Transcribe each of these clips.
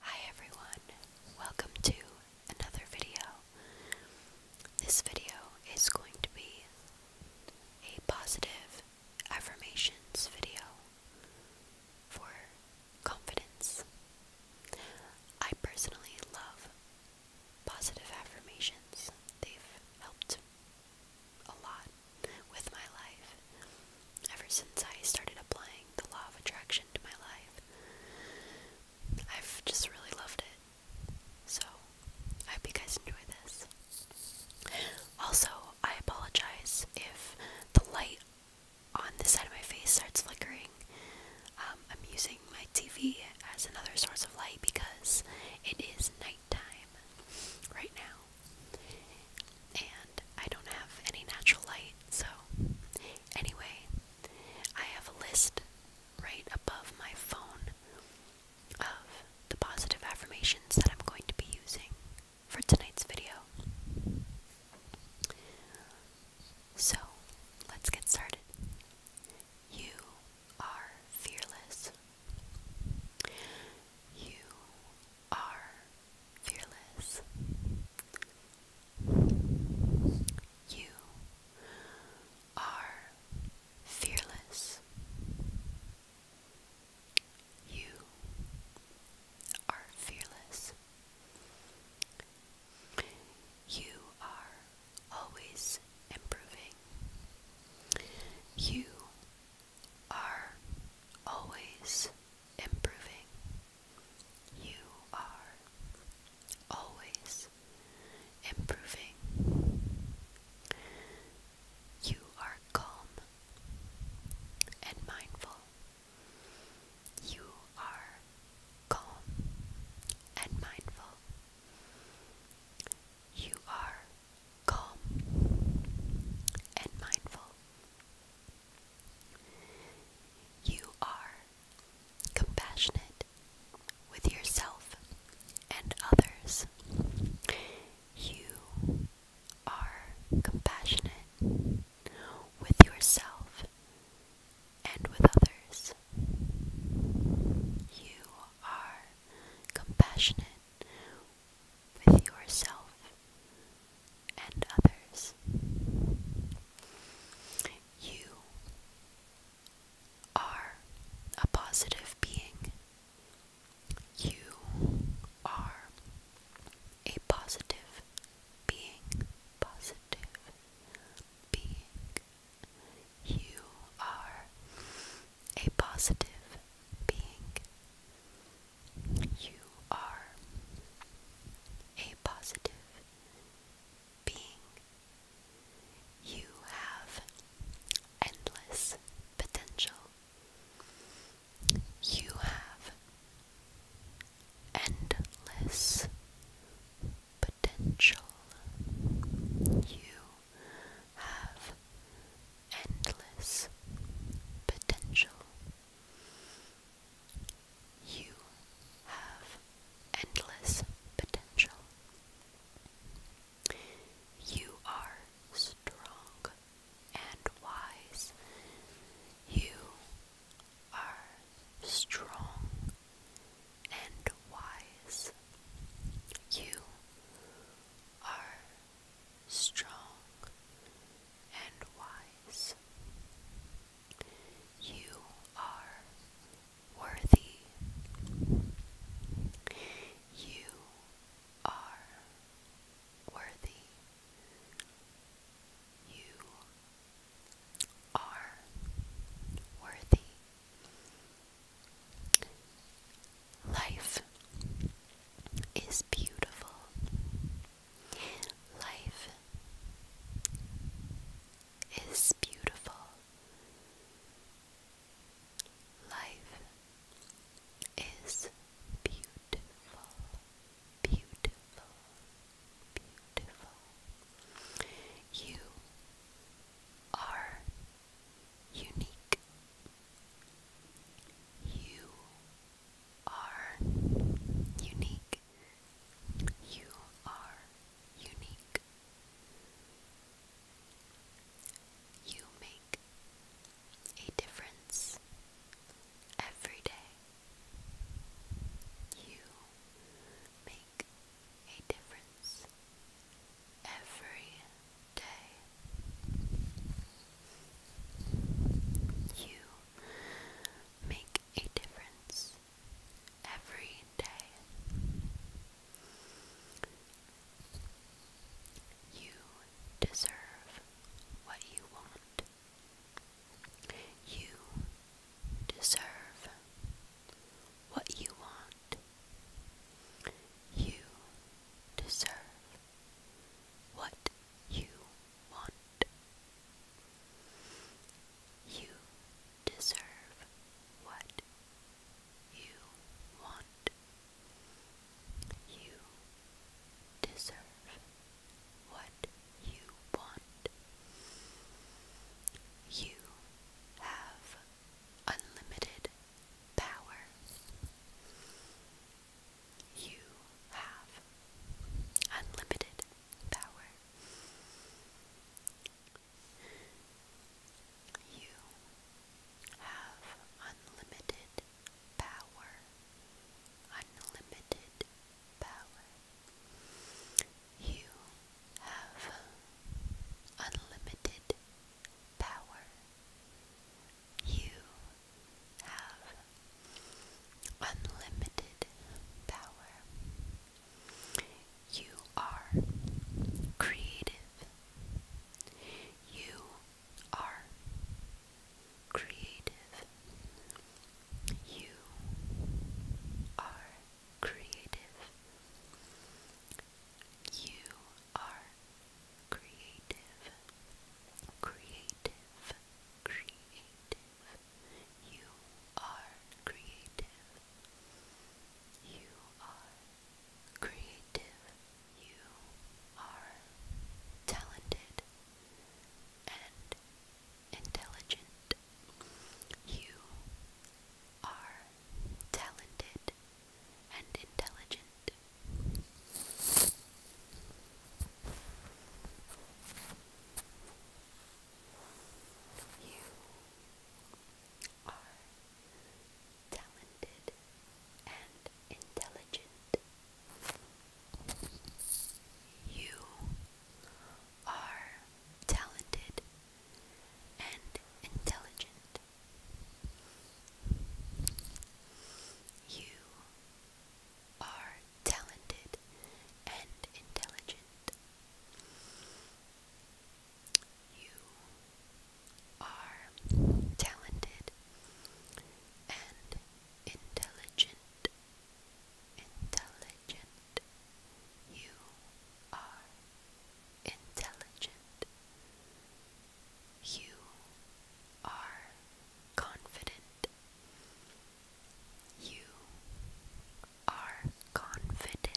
Hi everyone, welcome to another video. This video is going to be a positive affirmations video for confidence. I personally love positive affirmations, they've helped a lot with my life. Ever since I started applying the law of attraction to my life, I've just really loved it. So, I hope you guys enjoy this. Also, I apologize if the light on this side of my face starts flickering. Um, I'm using my TV as another source of light because it is nighttime right now. And I don't have any natural light, so anyway, I have a list right above my phone of the positive affirmations that I'm going to be using for tonight's video. So, let's get started. You are fearless. You are fearless. You are fearless. You are fearless. You are always improving. You are always improving. You are always improving. You are calm and mindful. You are calm and mindful. You are calm, and mindful. You are compassionate with yourself and others. You are compassionate with yourself and with others. You are compassionate with yourself and others. You are a positive being. You are a positive being. Positive being. You are a positive being. You are a positive being. You have endless potential. You have endless potential. You have endless potential. You have endless potential. You are strong and wise. You are strong and wise. You are strong and wise. You are worthy. You are worthy. You are worthy. Life is beautiful. Life is beautiful. Life is beautiful, beautiful, beautiful, you are unique. You are unique. You are unique. You make a difference every day. You make make a difference every day. You make a difference every day. You deserve what you want. You deserve what you want. You deserve what you want. You deserve what you want. You deserve what you want. You have unlimited power. You have unlimited power. You have unlimited power. Unlimited power. You have unlimited power. You have unlimited power. You are creative. You are creative. You are creative. You are creative. Creative. Creative. You are creative. You are creative. You are talented and intelligent. You are talented and intelligent. You are talented and intelligent. You are talented and intelligent. You are talented and intelligent. You are talented and intelligent intelligent. You are intelligent. You are confident. You are confident.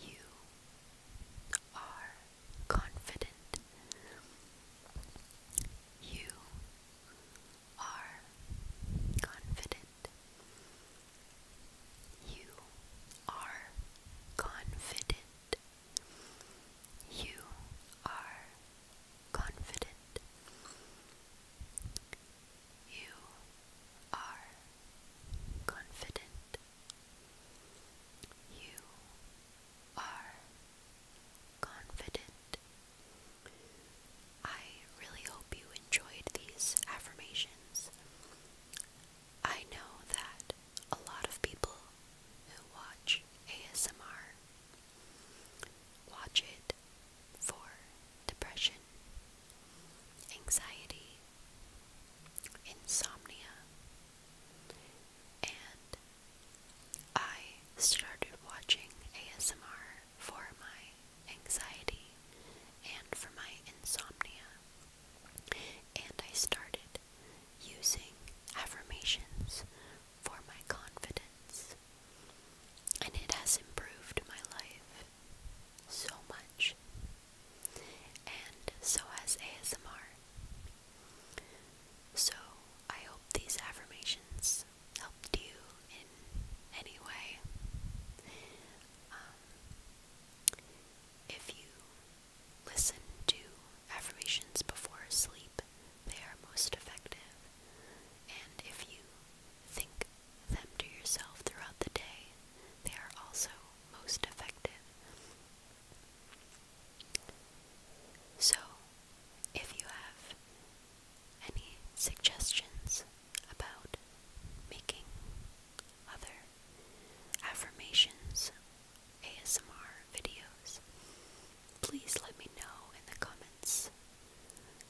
You are confident. You are confident. You are confident. You are confident. You are confident. You are confident. I really hope you enjoyed these affirmations. I know that a lot of people who watch ASMR watch it for depression, anxiety, insomnia, and I started watching ASMR for my anxiety and for my insomnia. And I started using affirmations for my confidence. And it has improved my life so much. And so has ASMR. So, I hope these affirmations helped you in any way. Um, if you listen to affirmations before sleep, they are most effective. And if you think them to yourself throughout the day, they are also most effective. So, if you have any suggestions about making other affirmations ASMR videos, please let me know in the comments.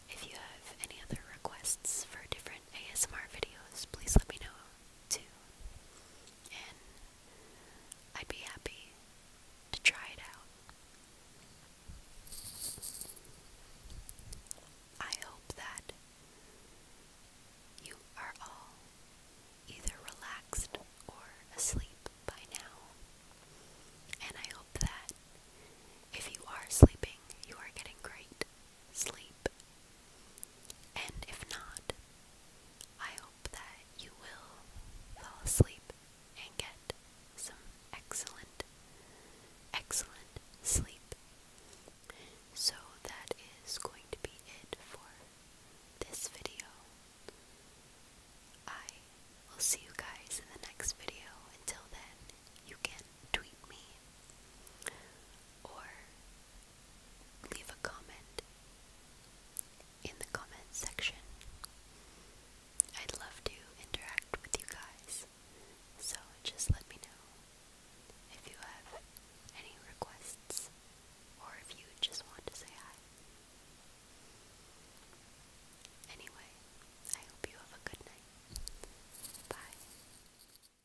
If you have any other requests for different ASMR videos, please let me know too. I'd be happy to try it out. I hope that you are all either relaxed or asleep by now. And I hope that if you are sleeping, you are getting great sleep and if not, I hope that you will fall asleep and get some excellent, excellent sleep. So that is going to be it for this video. I will see you guys in the next video. Until then, you can tweet me or leave a comment in the comment section. I'd love to interact with you guys, so just let me know if you have any requests or if you just want to say hi. Anyway, I hope you have a good night. Bye.